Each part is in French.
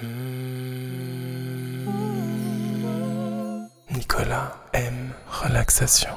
Hmm. Nicolas aime relaxation.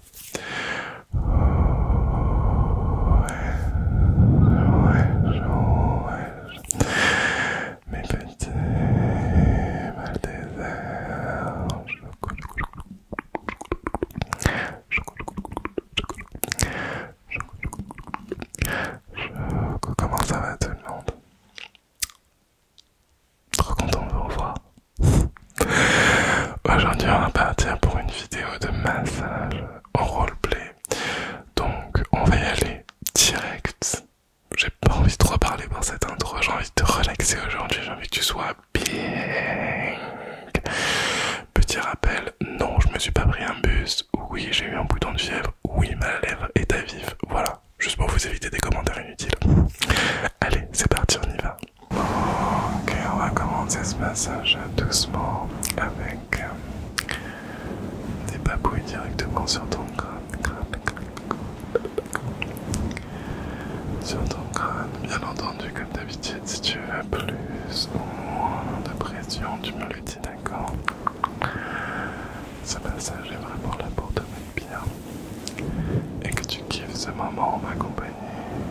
Mes petits mal Comment ça tout le monde Trop content de vous revoir. Aujourd'hui, on va partir pour une vidéo de massage en roleplay. Donc, on va y aller direct. J'ai pas envie de trop parler pour cet intro, j'ai envie de te relaxer aujourd'hui, j'ai envie que tu sois bien. Petit rappel, non, je me suis pas pris un bus. Oui, j'ai eu un bouton de fièvre. Oui, ma lèvre est à vif. Voilà, juste pour vous éviter des commentaires inutiles. Allez, c'est parti, on y va. Ok, on va commencer ce passage doucement avec euh, des papouilles directement sur ton crâne, Sur ton crâne, bien entendu, comme d'habitude, si tu as plus ou moins de pression, tu me le dis, d'accord Ce passage est vraiment là pour bien et que tu kiffes ce moment en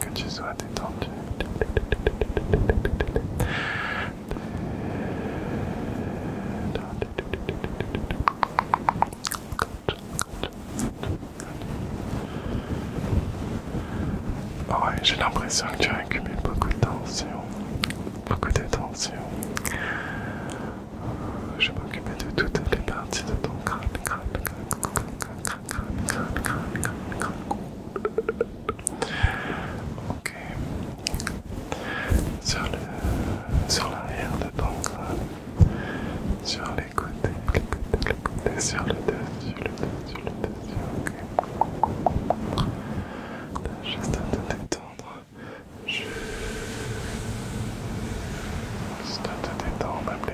que tu sois détendu. j'ai l'impression que tu as accumulé beaucoup de tension, beaucoup de tension. Je vais m'occuper de toutes les parties de ton crâne, crâne, Ok. Sur l'arrière de ton crâne. Sur les côtés, Sur le dessus, le le dessus. Ok. te détendre. Juste détendre,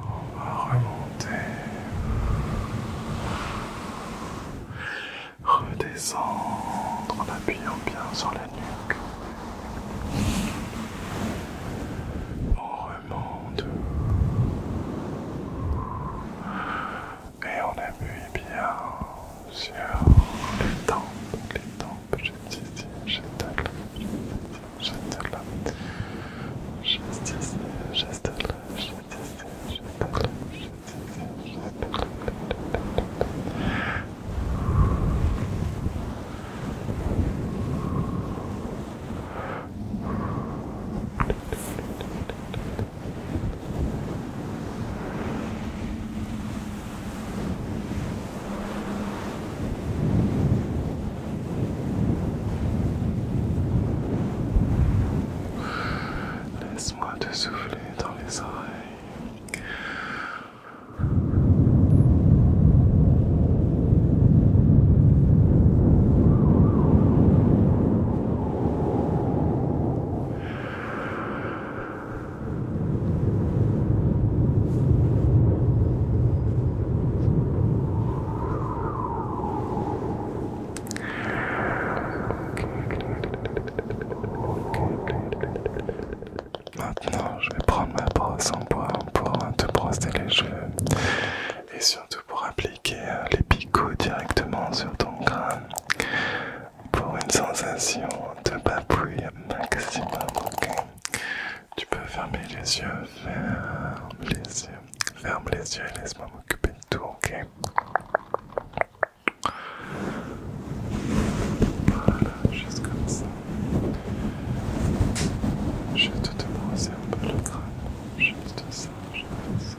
On va remonter, redescendre en appuyant bien sur la nuque. Et on vu bien sur les tempes, les tempes, ici, là, je là, ici, là, juste ici, juste là, juste ici, là. Laisse-moi te souffler dans les oreilles. Maintenant, je vais prendre ma brosse en bois pour te brosser les cheveux et surtout pour appliquer euh, les picots directement sur ton crâne pour une sensation de papouille maximum. Tu peux fermer les yeux, ferme les yeux, ferme les yeux et laisse-moi m'occuper de tout, ok Voilà, juste comme ça. Je te brosser un peu le crâne, juste ça, juste ça.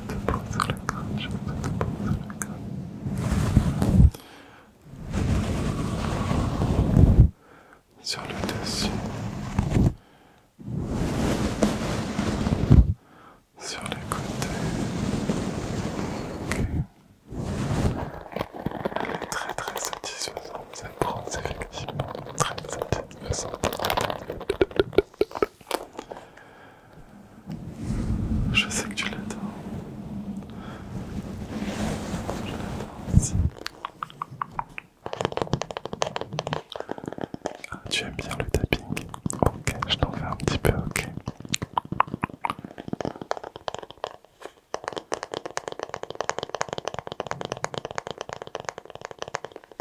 Je de points sur la corde, je vais te poser sur la corde. Sur le dessus. Sur les côtés. Okay. Elle est très très satisfaisante, cette bronze effectivement très satisfaisante. Je sais que tu l'adores. Ah, tu aimes bien le tapping Ok, je t'en fais un petit peu, ok.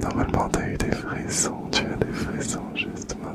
Normalement, t'as eu des frissons, tu as des frissons justement.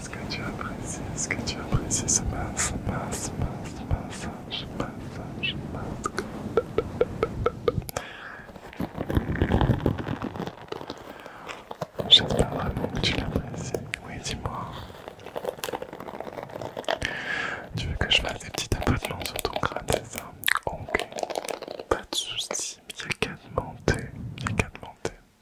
ce que tu apprécies ce que tu apprécies J'espère vraiment que tu l'apprécies. Oui, dis-moi. Tu veux que je fasse des petits tapotements sur ton crâne, ça Ok. Pas de soucis, il n'y a qu'à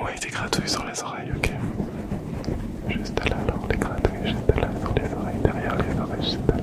Ouais, des gratouilles sur les oreilles, ok. Juste là, alors, les gratouilles, juste là, sur les oreilles, derrière les oreilles, juste à là.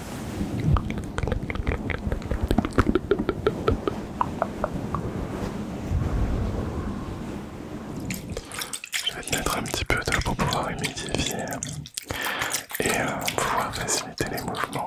Je vais te mettre un petit peu d'eau pour pouvoir humidifier et euh, pouvoir faciliter les mouvements.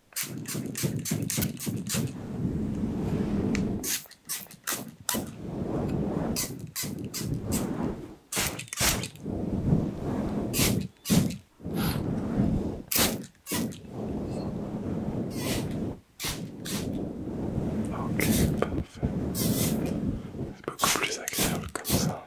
Ok, parfait. C'est beaucoup plus agréable comme ça.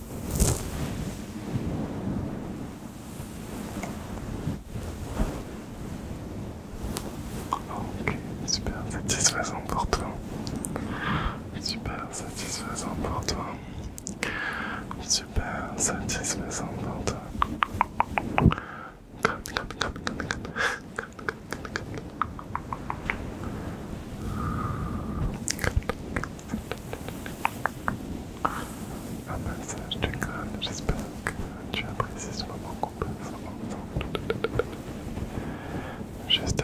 Ok, super satisfaisant pour toi. Super satisfaisant pour toi. Super satisfaisant pour toi. Un massage du crâne, j'espère que tu apprécies ce moment qu'on Juste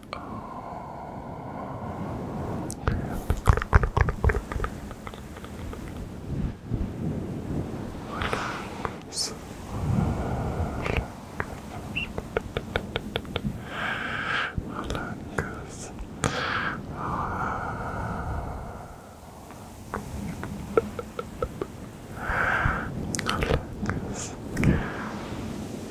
Oh. Relax. Relax. Relax. Relax.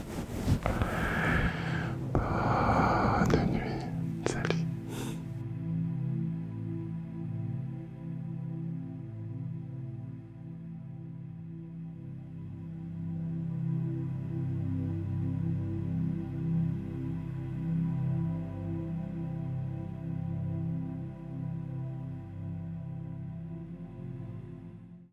Bonne ah, nuit, salut.